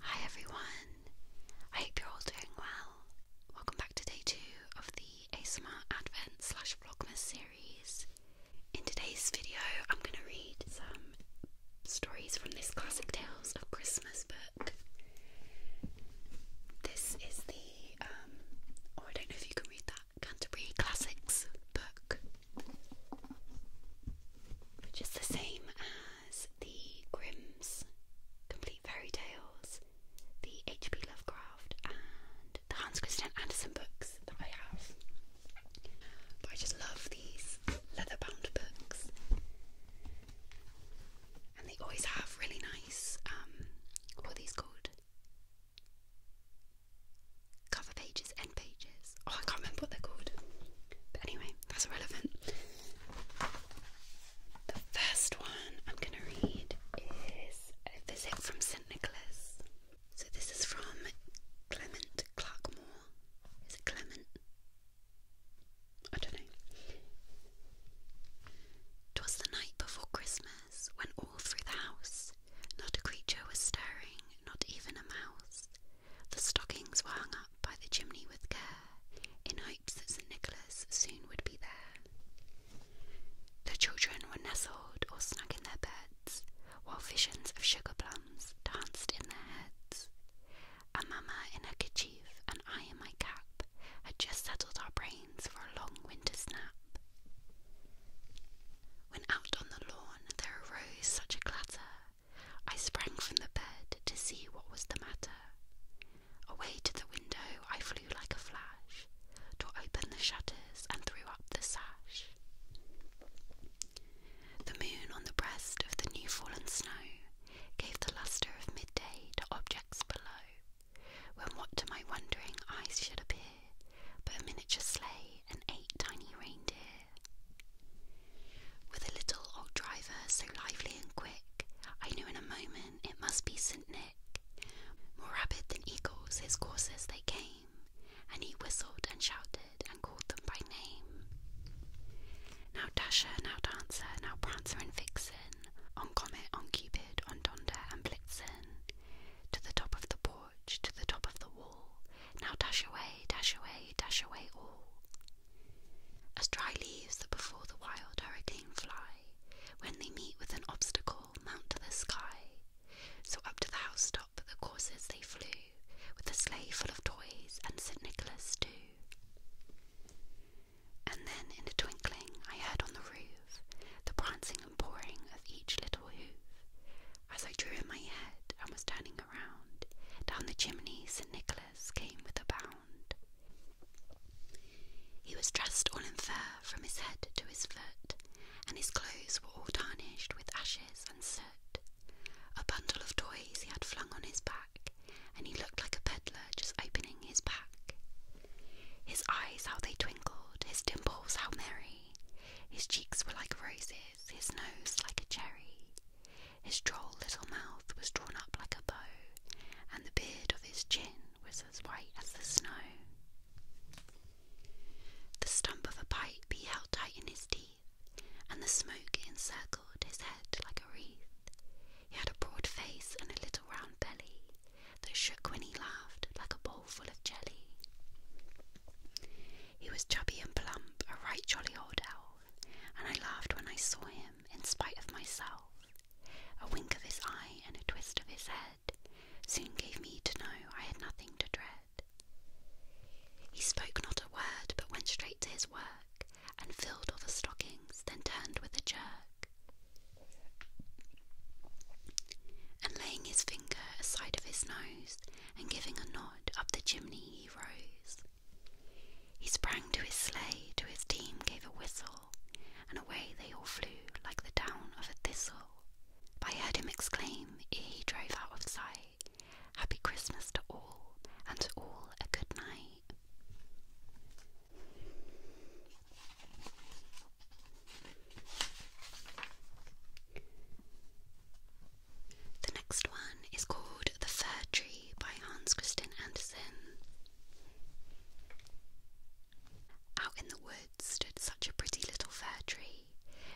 Hi everyone, I hope you're all doing well. Welcome back to day two of the ASMR Advent slash Vlogmas series. In today's video, I'm going to read some stories from this Classic Tales of Christmas book. This is the, um, oh, I don't know if you can read that. Canterbury Classics book, which is the same as the Grimm's Complete Fairy Tales, the H.P. Lovecraft, and the Hans Christian Andersen books that I have. But I just love these leather bound books, and they always have really nice, um, what are these called? cover pages, end pages. Oh, I can't remember what they're called. But anyway, that's irrelevant. The first one I'm going to read is A Visit from St. Nicholas. So this is from Clement Clarkmore. Is it Clement? I don't know. 'Twas the night before Christmas when all through the house not a creature was stirring, not even a mouse. The stockings were hung up by the chimney with care, in hopes that St. Nicholas soon would be there. The children were nestled or snug in their beds, while visions of sugar plums danced in their heads. A mamma in her kerchief and I in my cap had just settled our brains for a long winter's nap. When out on the lawn there arose such a clatter, I sprang from the bed to see what was the matter. Away to the window I flew like a flash, tore open the shutters and threw up the sash. The moon on the breast of the new fallen snow gave the lustre of midday to objects below, when what to my wondering eyes should appear but a miniature sleigh and eight tiny reindeer. With a little old driver so lively and quick, I knew in a moment it must be St. Nick. More rapid than eagles his courses they came, and he whistled and shouted and called them by name. Now Dasher, now Dancer, now Prancer and Vixen, on Comet, on Cupid, on Donder and Blitzen, to the top of the pole to the top of the wall. Now dash away, dash away, dash away all. As dry leaves that before the wild hurricane fly, when they meet with an obstacle, mount to the sky. So up to the house top the coursers they flew, with the sleigh full of toys and St. Nicholas too. And then in a twinkling I heard on the roof the prancing pouring of each little hoof, as I drew in my head and was turning around, down the chimney St. Nicholas came with a bound. He was dressed all in fur from his head to his foot, and his clothes were all tarnished with ashes and soot. A bundle of toys he had flung on his back, and he looked like a peddler just opening his pack. His eyes, how they twinkled, his dimples, how merry. His cheeks were like roses, his nose like a cherry. His droll little mouth was drawn up like a bow, and the beard of his chin was as white as the snow. The stump of a pipe he held tight in his teeth, and the smoke encircled his head like a wreath. He had a broad face and a little round belly that shook when he laughed like a ball full of jelly. He was chubby and plump, a right jolly old elf, and I laughed when I saw him, in spite of myself. A wink of his eye and a twist of his head soon gave me to know I had nothing to dread. He spoke not a word, but went straight to his work, and filled all the stockings, then turned with a jerk. And laying his finger aside of his nose, and giving a nod up the chimney, he rose. He sprang to his sleigh, to his team gave a whistle, and away they all flew like the down of a thistle. I heard him exclaim ere he drove out of sight, Happy Christmas to all, and to all a good night. The next one is called The Fir Tree by Hans Christian Andersen. Out in the woods stood such a pretty little fir tree.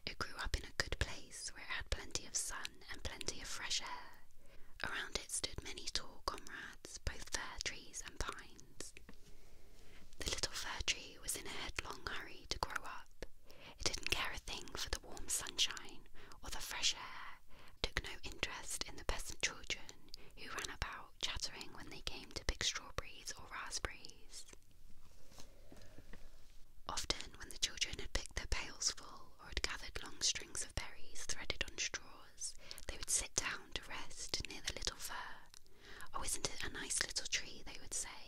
It grew up in a good place where it had plenty of sun and plenty of fresh air. Around it stood many tall comrades, both fir trees and pines. The little fir tree was in a headlong hurry to grow up. It didn't care a thing for the warm sunshine or the fresh air, took no interest in the peasant children who ran about chattering when they came to pick strawberries or raspberries. Often, when the children had picked their pails full or had gathered long strings of berries threaded on straws, they would sit down to rest near the little fir. Oh, isn't it a nice little tree? They would say,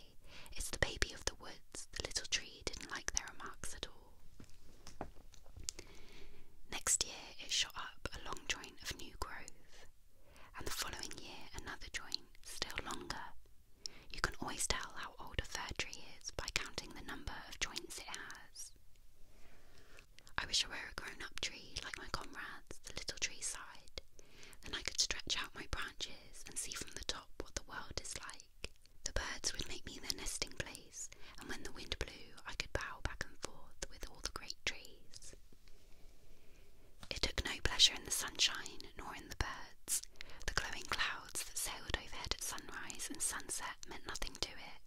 it's the baby of the woods. The little tree didn't like their remarks at all. Next year, it shot up a long joint of new growth, and the following year, another joint, still longer. You can always tell how old a fir tree is by counting the number of joints it has. I wish I were a grown up tree like my comrades, the little tree sighed. Then I could stretch out my branches and see from the top what the world is like. The birds would make me their nesting place, and when the wind blew, I could bow back and forth with all the great trees. It took no pleasure in the sunshine nor in the birds. The glowing clouds that sailed overhead at sunrise and sunset meant nothing to it.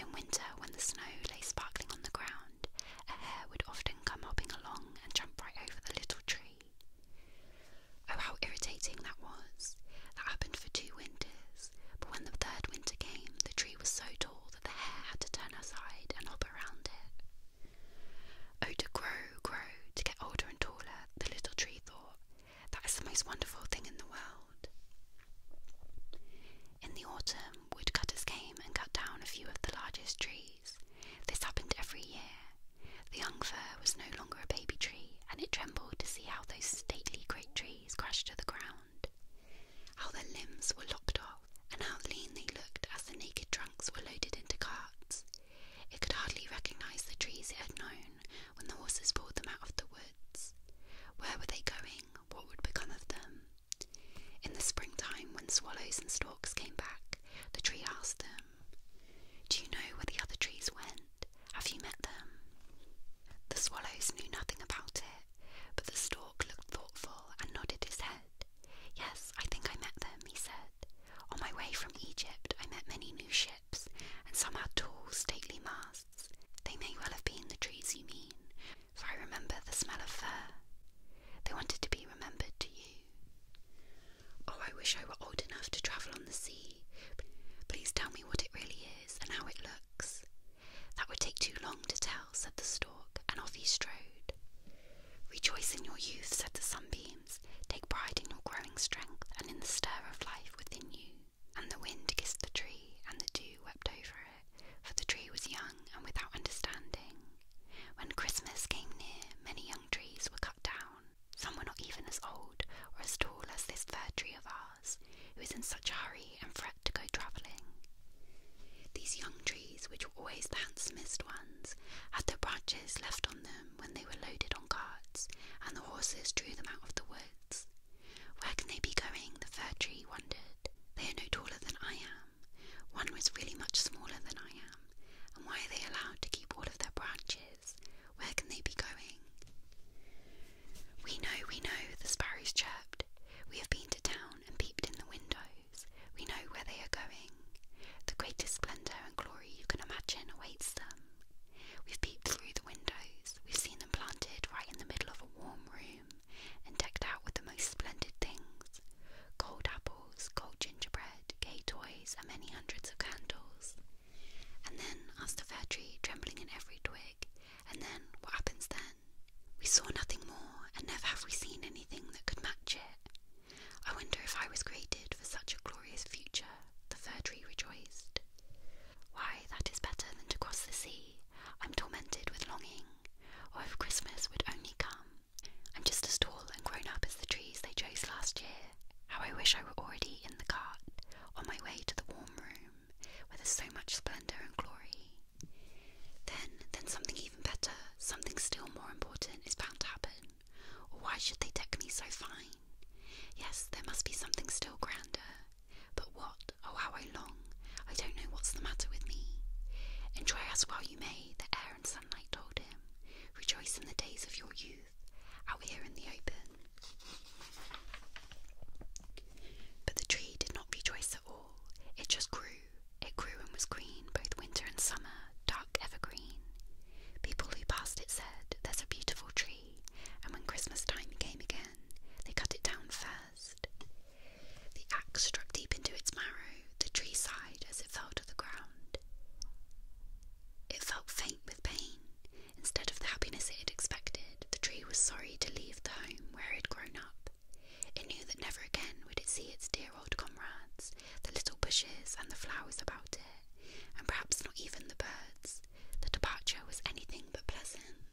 In winter, when the snow lay sparkling on the ground, a hare would often come hopping along and jump right over the little tree. Oh, how irritating that was! That happened for two winters, but when the third winter came, the tree was so tall that the hare had to turn aside and hop around it. Oh, to grow, grow, to get older and taller, the little tree thought. That is the most wonderful thing in the world. In the autumn, woodcutters came and cut down a few of the largest trees. This happened every year, the young fir was no longer a baby tree, and it trembled to see how those stately great trees crashed to the ground, how their limbs were lopped off, and how lean they looked as the naked trunks were loaded into carts. It could hardly recognize the trees it had known when the horses pulled them out of the woods. Where were they going? What would become of them? In the springtime, when swallows and storks came back, the tree asked them do you know where the other trees went? Have you met them? The swallows knew nothing about it, but the stork looked thoughtful and nodded his head. Yes, I think I met them, he said. On my way from Egypt, I met many new ships, and some had tall, stately masts. They may well have been the trees you mean, for I remember the smell of fir. They wanted to be remembered to you. Oh, I wish I were old enough to travel on the sea. Please tell me what it really is and how it looks. That would take too long to tell, said the stork, and off he strode. Rejoice in your youth, said the sunbeams. Take pride in your growing strength and in the stir of life within you. And the wind kissed the tree, and the dew wept over it, for the tree was young and without understanding. When Christmas came near, many young trees were cut down some were not even as old or as tall as this fir tree of ours, who is in such a hurry and fret to go travelling. These young trees, which were always the handsomest ones, had their branches left on them when they were loaded on carts, and the horses drew them out of the woods. Where can they be going? The fir tree wondered. They are no taller than I am. One was really much smaller than I am, and why are they allowed to keep all of their branches? Where can they be going? We know, we know, the sparrows chirped. We have been to town and peeped in the windows. We know where they are going. The greatest splendour and glory you can imagine awaits them. We've peeped through the windows. We've seen them planted right in the middle of a warm room and decked out with the most splendid things cold apples, cold gingerbread, gay toys, and many hundreds of candles. And then, asked the fir tree, trembling in every twig, and then, what happens then? We saw nothing more, and never have we seen anything that could match it. I wonder if I was created for such a glorious future, the fir tree rejoiced. Why, that is better than to cross the sea. I'm tormented with longing, Oh, if Christmas would only come. I'm just as tall and grown up as the trees they chose last year, how I wish I were already in the cart, on my way to the warm room, where there's so much splendour and glory. Then, then something even better, something still more important is bound to happen, why should they deck me so fine? Yes, there must be something still grander, but what, oh how I long, I don't know what's the matter with me. Enjoy us while you may, the air and sunlight told him. Rejoice in the days of your youth truth out here in the open. But the tree did not rejoice at all. It just grew. It grew and was green both winter and summer, dark evergreen. People who passed it said, There's a beautiful tree, and when Christmas time came again, they cut it down first. The axe struck deep into its marrow, the tree sighed as it fell to the ground. It felt faint with pain. Instead of the happiness it had expected, the tree was sorry to leave the home where it had grown up. It knew that never again would it see its dear old comrades, the little bushes and the flowers about it, and perhaps not even the birds. The departure was anything but pleasant.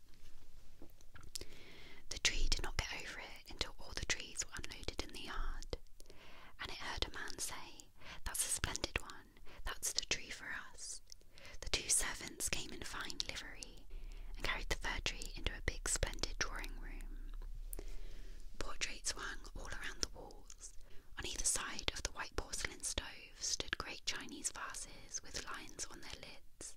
The tree did not get over it until all the trees were unloaded in the yard, and it heard a man say, That's a splendid one that's the tree for us. The two servants came in fine livery and carried the fir tree into a big, splendid drawing room. Portraits were hung all around the walls. On either side of the white porcelain stove stood great Chinese vases with lions on their lids.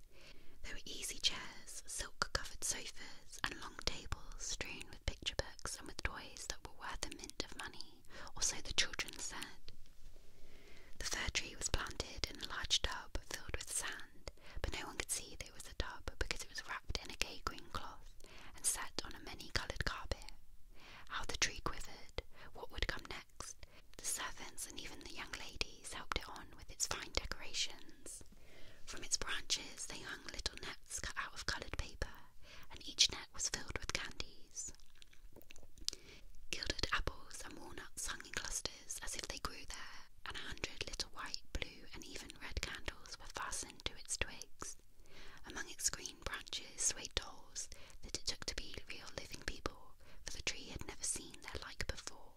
There were easy chairs, silk covered sofas, and long tables strewn with picture books and with toys that were worth a mint of money money, so the children said. The fir tree was planted in a large tub filled with sand, but no one could see that it was a tub because it was wrapped in a gay green cloth and set on a many coloured carpet. How the tree quivered, what would come next? The servants and even the young ladies helped it on with its fine decorations. From its branches they hung little nets cut out of coloured paper and each net was filled with candies. Gilded apples and walnuts hung in clusters as if they grew there, and a hundred little white, blue, and even red candles were fastened to its twigs. Among its green branches swayed dolls that it took to be real living people, for the tree had never seen their like before.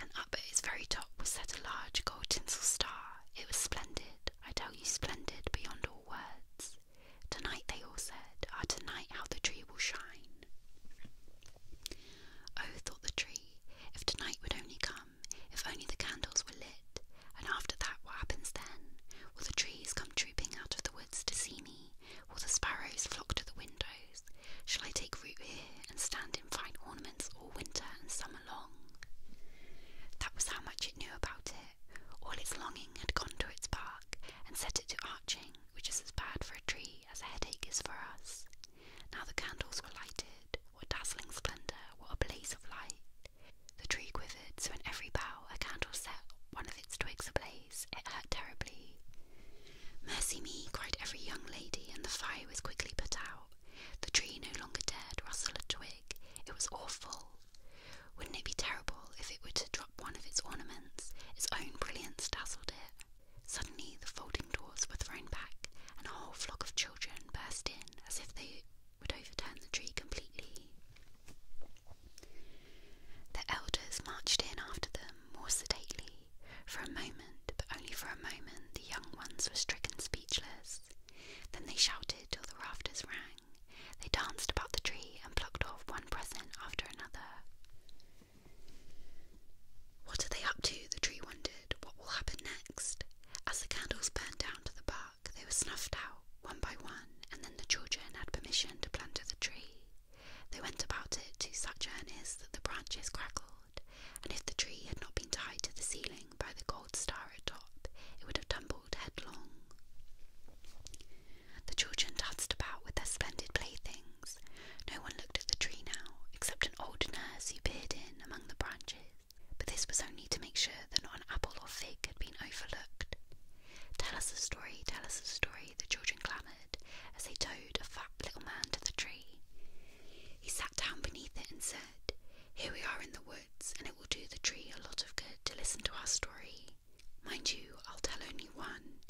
And up at its very top was set a large gold tinsel star. It was splendid, I tell you, splendid beyond all words. Tonight, they all said, ah, tonight how the tree will shine. Oh, thought the tree, if tonight would only come, if only the candles were lit, and after that, what happens then? Will the trees come trooping out of the woods to see me? Will the sparrows flock to the windows? Shall I take root here and stand in fine ornaments all winter and summer long? That was how much it knew about it. All its longing had gone to its bark and set it to arching, which is as bad for a tree as a headache is for us. Now the candles were lighted, what dazzling splendour, what a blaze of light. The tree quivered, so in every bough a candle set one of its twigs ablaze. It hurt terribly. Mercy me, cried every young lady, and the fire was quickly put out. The tree no longer dared rustle a twig. It was awful. Wouldn't it be terrible if it were to drop one of its ornaments? Its own brilliance dazzled it. Suddenly the folding doors were thrown back, and a whole flock of children burst in as if they would overturn the tree completely. The elders marched in after them more sedately. For a moment, but only for a moment, the young ones were stricken speechless. Then they shouted till the rafters rang. They danced about the tree and plucked off one present after another. What are they up to? The tree wondered. What will happen next? As the candles burned down to the bark, they were snuffed out one by one, and then the children had permission to plunder the tree. They went about it to such earnest that the branches crackled, and if the tree had not been tied to the ceiling by the gold star at top, it would have tumbled headlong. The children danced about with their splendid playthings. No one looked at the tree now, except an old nurse who peered in among the branches. But this was only to make sure that not an apple or fig had been overlooked. Tell us a story, tell us a story, the children clamoured as they towed a fat little man to the tree. He sat down beneath it and said, Here we are in the woods, and it will do the tree a lot of good to listen to our story. Mind you, I'll tell only one.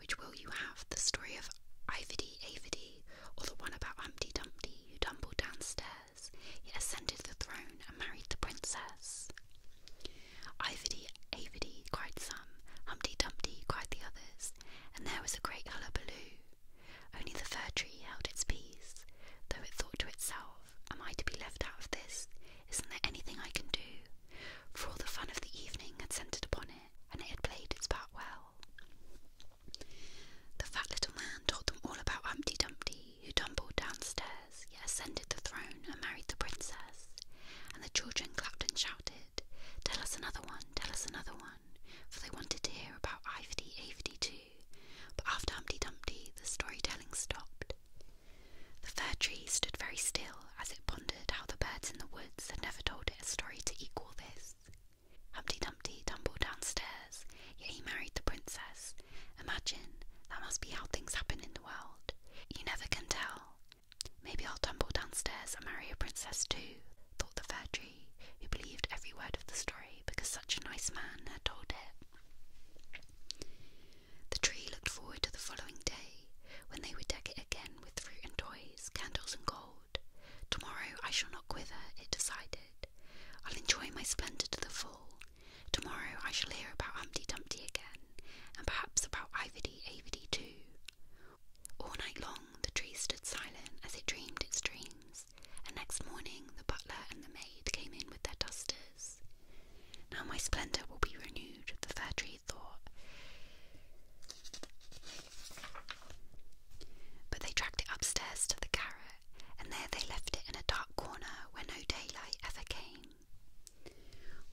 Which will you have? The story of Ivedy Avedy, or the one about Humpty Dumpty, who tumbled downstairs, yet ascended the throne and married the princess? Ivedy Avedy, cried some, Humpty Dumpty, cried the others, and there was a great hullabaloo. Only the fir tree held its peace, though it thought to itself, am I to be left out of this? Isn't there anything I can do? For all the fun of the evening had centred upon it, and it had played its part well. The fat little man told them all about Humpty Dumpty, who tumbled downstairs, yet ascended the throne and married the princess, and the children clapped and shouted, Tell us another one, tell us another one, for they wanted to hear about Ivedy Avedy too. But after Humpty Dumpty, the storytelling stopped, the fir tree stood very still as it pondered how the birds in the woods had never told it a story to equal this. Humpty Dumpty tumbled downstairs, yet he married the princess. Imagine, that must be how things happen in the world. You never can tell. Maybe I'll tumble downstairs and marry a princess too, thought the fir tree, who believed every word of the story because such a nice man had told it. The tree looked forward to the following day, when they would deck it again with fruit and toys, candles and gold. Tomorrow I shall not quiver, it decided. I'll enjoy my splendour to the full. Tomorrow I shall hear about Humpty Dumpty again, and perhaps about Ivedy Avedy too. All night long the tree stood silent as it dreamed its dreams, and next morning the butler and the maid came in with their dusters. Now my splendour will be renewed, the fair tree thought. But they dragged it upstairs to the garret, and there they left it in a dark corner where no daylight ever came.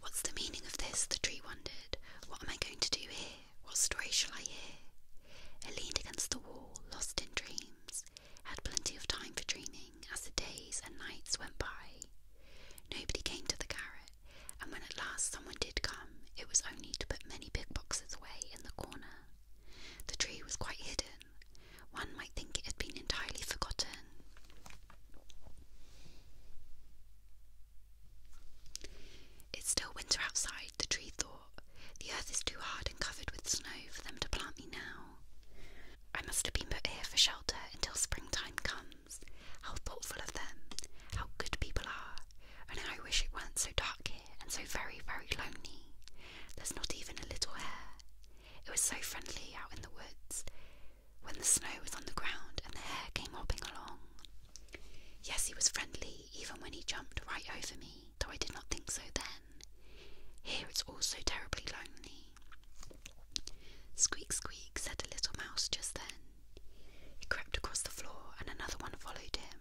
What's the meaning of this? the tree wondered. What am I going to do here? What story shall I hear? It leaned against the wall, lost in dreams, had plenty of time for dreaming as the days and nights went by. Nobody came to the garret, and when at last someone did come, it was only to put many big boxes away in the corner. The tree was quite hidden. One might think it had been entirely forgotten. It's still winter outside, the tree thought. The earth is too hard and covered with snow for them to plant me now. I must have been put here for shelter until springtime comes. How thoughtful of them, how good people are, and I wish it weren't so dark here and so very, very lonely. There's not even a little hare. It was so friendly out in the woods when the snow was on the ground and the hare came hopping along. Yes, he was friendly even when he jumped right over me, though I did not think so then. Here it's all so terribly lonely. Squeak, squeak, said a little mouse just then. He crept across the floor, and another one followed him.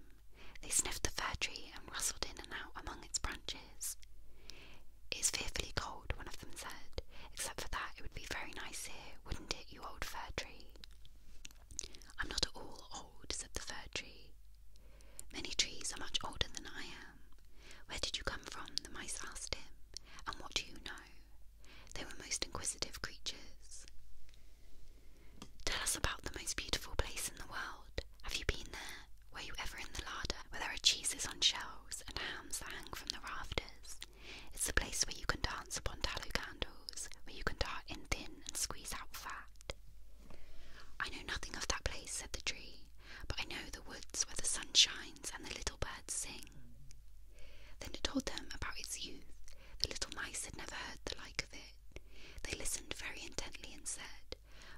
They sniffed the fir tree and rustled in and out among its branches. It is fearfully cold, one of them said. Except for that, it would be very nice here, wouldn't it, you old fir tree? I'm not at all old, said the fir tree. Many trees are much older than I am. Where did you come from? the mice asked him, and what do you know? They were most inquisitive creatures. Tell us about the most beautiful place in the world. Have you been there? Were you ever in the larder, where there are cheeses on shelves and hams that hang from the rafters? It's the place where you can dance upon tallow candles, where you can dart in thin and squeeze out fat. I know nothing of that place, said the tree, but I know the woods where the sun shines and the little birds sing. Then it told them about its youth. The little mice had never heard the like of it. They listened very intently and said,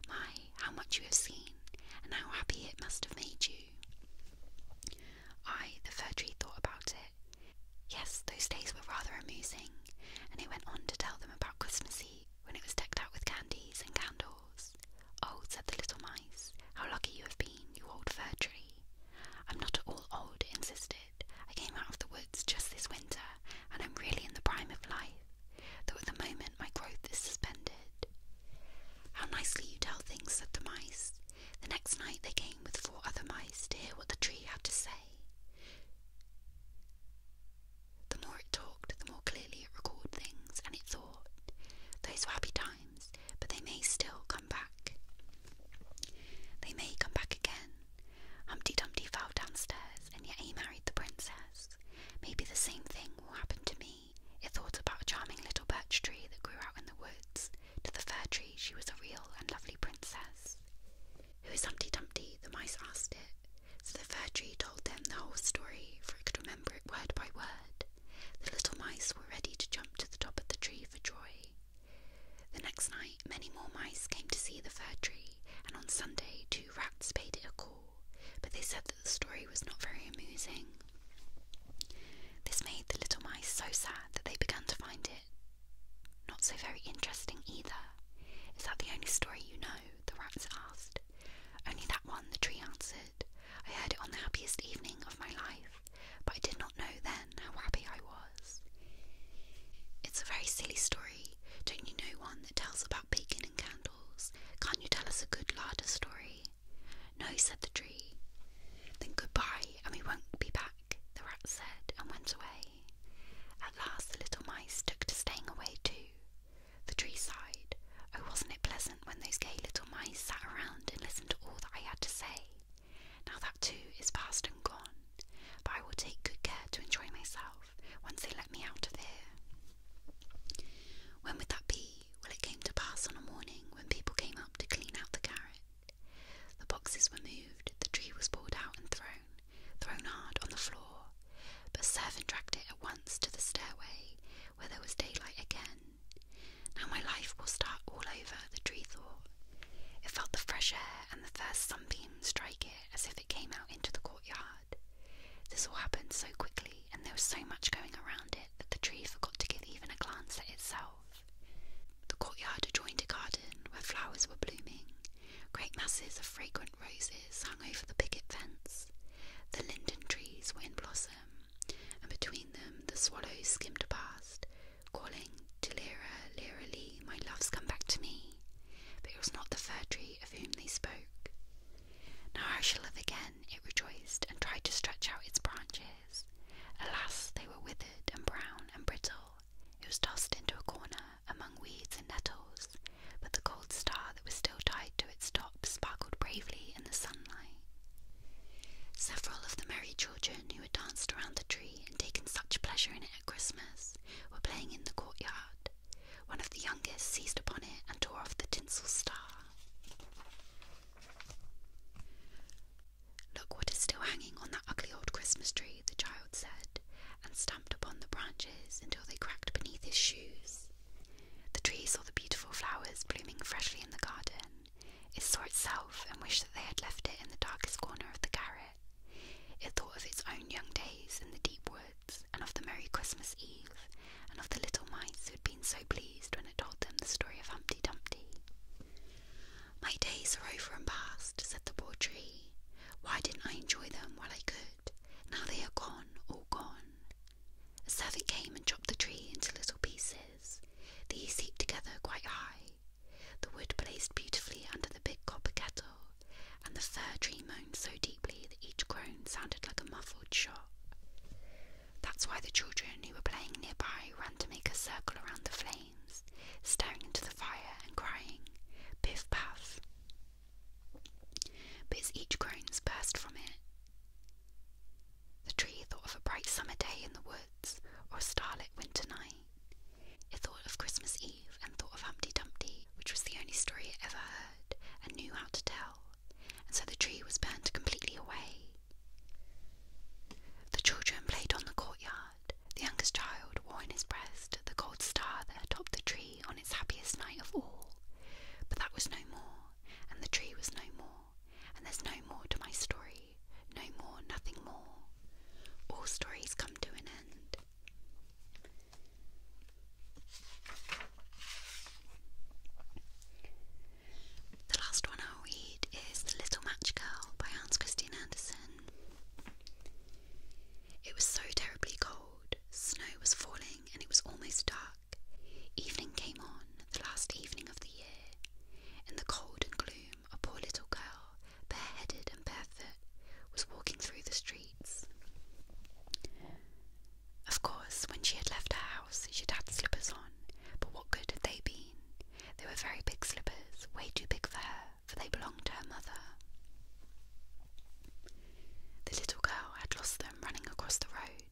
My, how much you have seen, and how happy it must have made you. I, the fir tree, thought about it. Yes, those days were rather amusing, and it went on to tell them about Christmas Eve, when it was decked out with candies and candles Oh, said the little mice, how lucky you have been, you old fir tree. I'm not at all old, insisted. I came out of the woods just this winter, and I'm really in the prime of life, though at the moment my growth is suspended. How nicely you tell things, said the mice. The next night they came with four other mice to hear what the tree had to say. The more it talked, the more clearly it recalled things, and it thought, Those were happy times but they may still come back. They may come back again. Humpty Dumpty fell downstairs, and yet he married the princess. Maybe the same thing will happen to me. It thought about a charming little birch tree that grew out in the woods. To the fir tree, she was a real and lovely princess. Who is Humpty Dumpty? The mice asked it. So the fir tree told them the whole story, for it could remember it word by word. The little mice were ready to jump to the top of the tree for joy. The next night, many more mice came to see the fir tree, and on Sunday, two rats paid it a call, but they said that the story was not very amusing. This made the little mice so sad that they began to find it not so very interesting either. Is that the only story you know? the rats asked. Only that one, the tree answered. I heard it on the happiest evening of my life, but I did not know then how happy I was. It's a very silly story. Don't you know one that tells about bacon and candles? Can't you tell us a good larder story? No, said the tree. Then goodbye, and we won't be back, the rat said, and went away. At last the little mice took to staying away too. The tree sighed. Oh, wasn't it pleasant? when those gay little mice sat around and listened to all that I had to say. Now that too is past and gone, but I will take good care to enjoy myself once they let me out of here. When would that be? Well, it came to pass on a morning when people came up to clean out the garret. The boxes were moved, the tree was pulled out and thrown, thrown hard on the floor, but a servant dragged it at once to the stairway, where there was daylight again, now my life will start all over, the tree thought. It felt the fresh air and the first sunbeam strike it as if it came out into the courtyard. This all happened so quickly, and there was so much going around it that the tree forgot to give even a glance at itself. The courtyard adjoined a garden where flowers were blooming. Great masses of fragrant roses hung over the picket fence. The linden trees were in blossom, and between them the swallows skimmed past, calling to Lyra, Lyra Lee, my love's come back to me. But it was not the fir tree of whom they spoke. Now I shall live again, it rejoiced, and tried to stretch out its branches. Alas, they were withered and brown and brittle. It was tossed into a corner among weeds and nettles, but the cold star that was still tied to its top sparkled bravely the sunlight. Several of the merry children who had danced around the tree and taken such pleasure in it at Christmas were playing in the courtyard. One of the youngest seized upon it and tore off the tinsel star. Look what is still hanging on that ugly old Christmas tree, the child said, and stamped upon the branches until they cracked beneath his shoes. The tree saw the beautiful flowers blooming freshly in the garden it saw itself and wished that they had left it in the darkest corner of the garret. It thought of its own young days in the deep woods, and of the merry Christmas Eve, and of the little mice who had been so pleased when it told them the story of Humpty Dumpty. My days are over and past, said the poor tree. Why didn't I enjoy them while I could? Now they are gone, all gone. A servant came and chopped the tree into little pieces. These heaped together quite high, the wood blazed beautifully under the big copper kettle, and the fir tree moaned so deeply that each groan sounded like a muffled shot. That's why the children who were playing nearby ran to make a circle around the flames, staring into the fire and crying, Piff Paff! But as each groan burst from it, the tree thought of a bright summer day in the woods, or a starlit winter night. It thought of Christmas Eve and thought of Humpty Dumpty, which was the only story it ever heard and knew how to tell, and so the tree was burned completely away. The children played on the courtyard. The youngest child wore in his breast the gold star that topped the tree on its happiest night of all. But that was no more, and the tree was no more and there's no more to my story, no more, nothing more. All stories come to an end. The last one I'll read is The Little Match Girl by Hans Christian Andersen. It was so terribly cold, snow was falling, and it was almost dark. Evening came on, the last evening of the year, in the cold and gloom, a poor little girl, bareheaded and barefoot, was walking through the streets. Of course, when she had left her house, she'd had slippers on, but what good had they been? They were very big slippers, way too big for her, for they belonged to her mother. The little girl had lost them running across the road,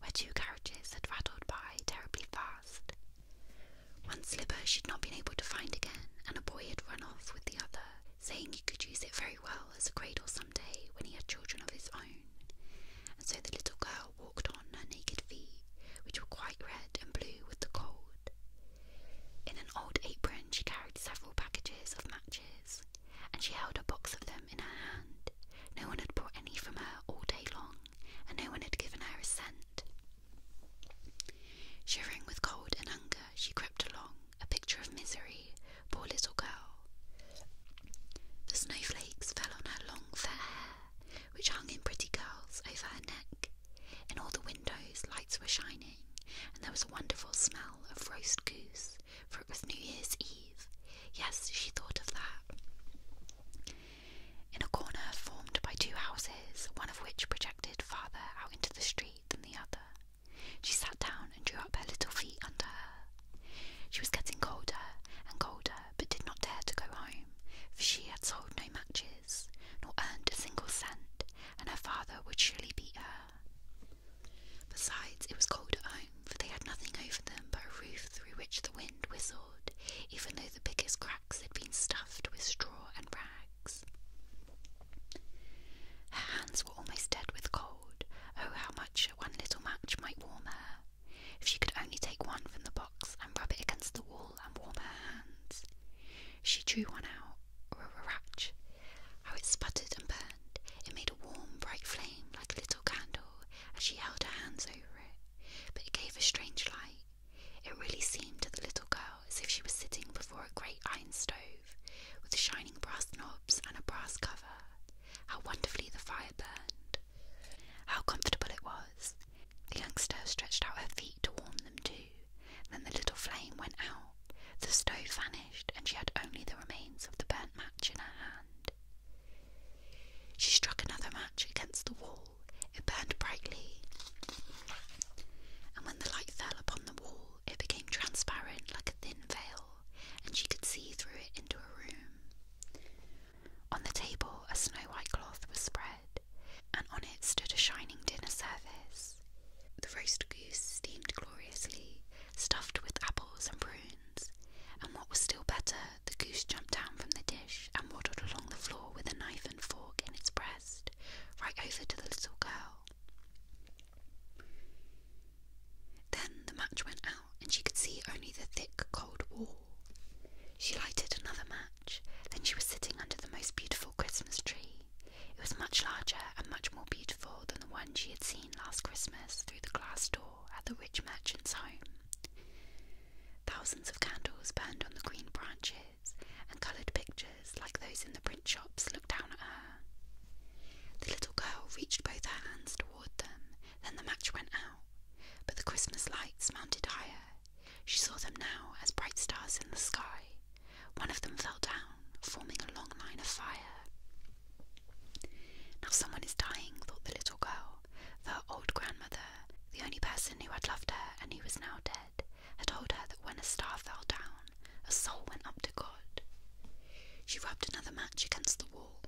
where two carriages had rattled by terribly fast. One slipper she'd not been able to find again, and a boy had run off with the other, saying he could use it very well as a cradle some day when he had children of his own. And so the little girl walked on her naked feet, which were quite red and blue with the cold. In an old apron, she carried several packages of matches, and she held a box of them in her hand. No one had brought any from her all day long, and no one had given her a cent night. Shivering with cold and hunger, she crept along, a picture of misery, poor little girl. The snowflakes fell on her long fair hair, which hung in pretty curls over her neck. In all the windows, lights were shining, and there was a wonderful smell of roast goose, for it was New Year's Eve. Yes, she thought of that in a corner formed by two houses, one of which projected farther out into the street than the other. She sat down and drew up her little feet under her. She was getting colder and colder, but did not dare to go home, for she had sold no matches, nor earned a single cent, and her father would surely beat her. Besides, it was cold at home, for they had nothing over them but a roof through which the wind whistled even though the biggest cracks had been stuffed with straw and rags. Her hands were almost dead with cold. Oh, how much one little match might warm her! If she could only take one from the box and rub it against the wall and warm her hands. She drew one out, ratch. How it sputtered and burned! It made a warm, bright flame like a little candle as she held her hands over it, but it gave a strange light. It really seemed to the little girl as if she was sitting before a great iron stove with shining brass knobs and a brass cover. How wonderfully the fire burned! How comfortable it was! The youngster stretched out her feet to warm them too. Then the little flame went out, the stove vanished, and she had only the remains of the burnt match in her hand. She struck another match against the wall it burned brightly, and when the light fell upon the wall, it became transparent like a thin veil, and she could see through it into a room. On the table, a snow white cloth was spread, and on it stood a shining dinner service. The roast goose steamed gloriously, stuffed with apples and prunes, and what was still better, the goose jumped down from the dish and waddled along the floor with a knife and fork in its breast, right over to the little girl. Then the match went out, and she could see only the thick, cold wall. She lighted another match, then she was sitting under the most beautiful Christmas tree. It was much larger and much more beautiful than the one she had seen last Christmas through the glass door at the rich merchant's home. Thousands of candles burned on the green branches, and coloured pictures like those in the print shops looked down at her. The little girl reached both her hands toward them, then the match went out, but the Christmas lights mounted higher. She saw them now as bright stars in the sky. One of them fell down, forming a long line of fire. Now someone is dying, thought the little girl, her old grandmother the only person who had loved her and who was now dead had told her that when a star fell down, a soul went up to God. She rubbed another match against the wall.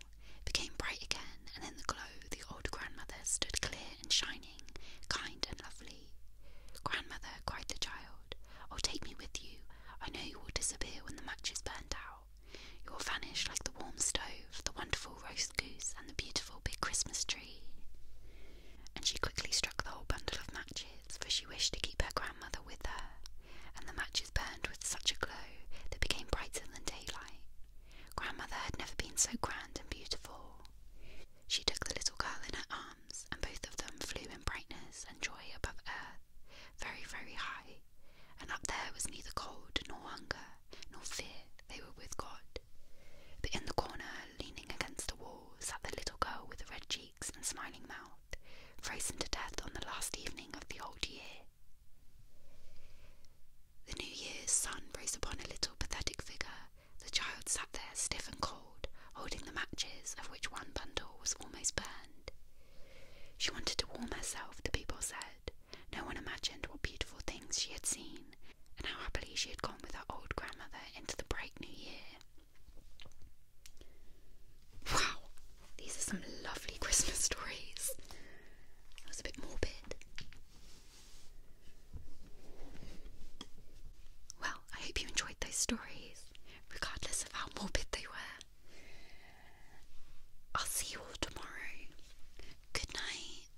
became bright again, and in the glow, the old grandmother stood clear and shining, kind and lovely. Grandmother, cried the child, oh, take me with you. I know you will disappear when the match is burnt out. You will vanish like the warm stove, the wonderful roast goose, and the beautiful big Christmas tree and she quickly struck the whole bundle of matches, for she wished to keep her grandmother with her, and the matches burned with such a glow they became brighter than daylight. Grandmother had never been so grand and beautiful. She took the little girl in her arms, and both of them flew in brightness and joy above earth, very, very high, and up there was neither cold nor hunger nor fear, they were with God. But in the corner, leaning against the wall, sat the little girl with the red cheeks and smiling mouth, frozen to death on the last evening of the old year. The New Year's sun rose upon a little pathetic figure. The child sat there stiff and cold, holding the matches, of which one bundle was almost burned. She wanted to warm herself, the people said. No one imagined what beautiful things she had seen and how happily she had gone with her old grandmother into the bright new year. Wow, these are some lovely Christmas stories. That was a bit morbid. Well, I hope you enjoyed those stories, regardless of how morbid they were. I'll see you all tomorrow. Good night.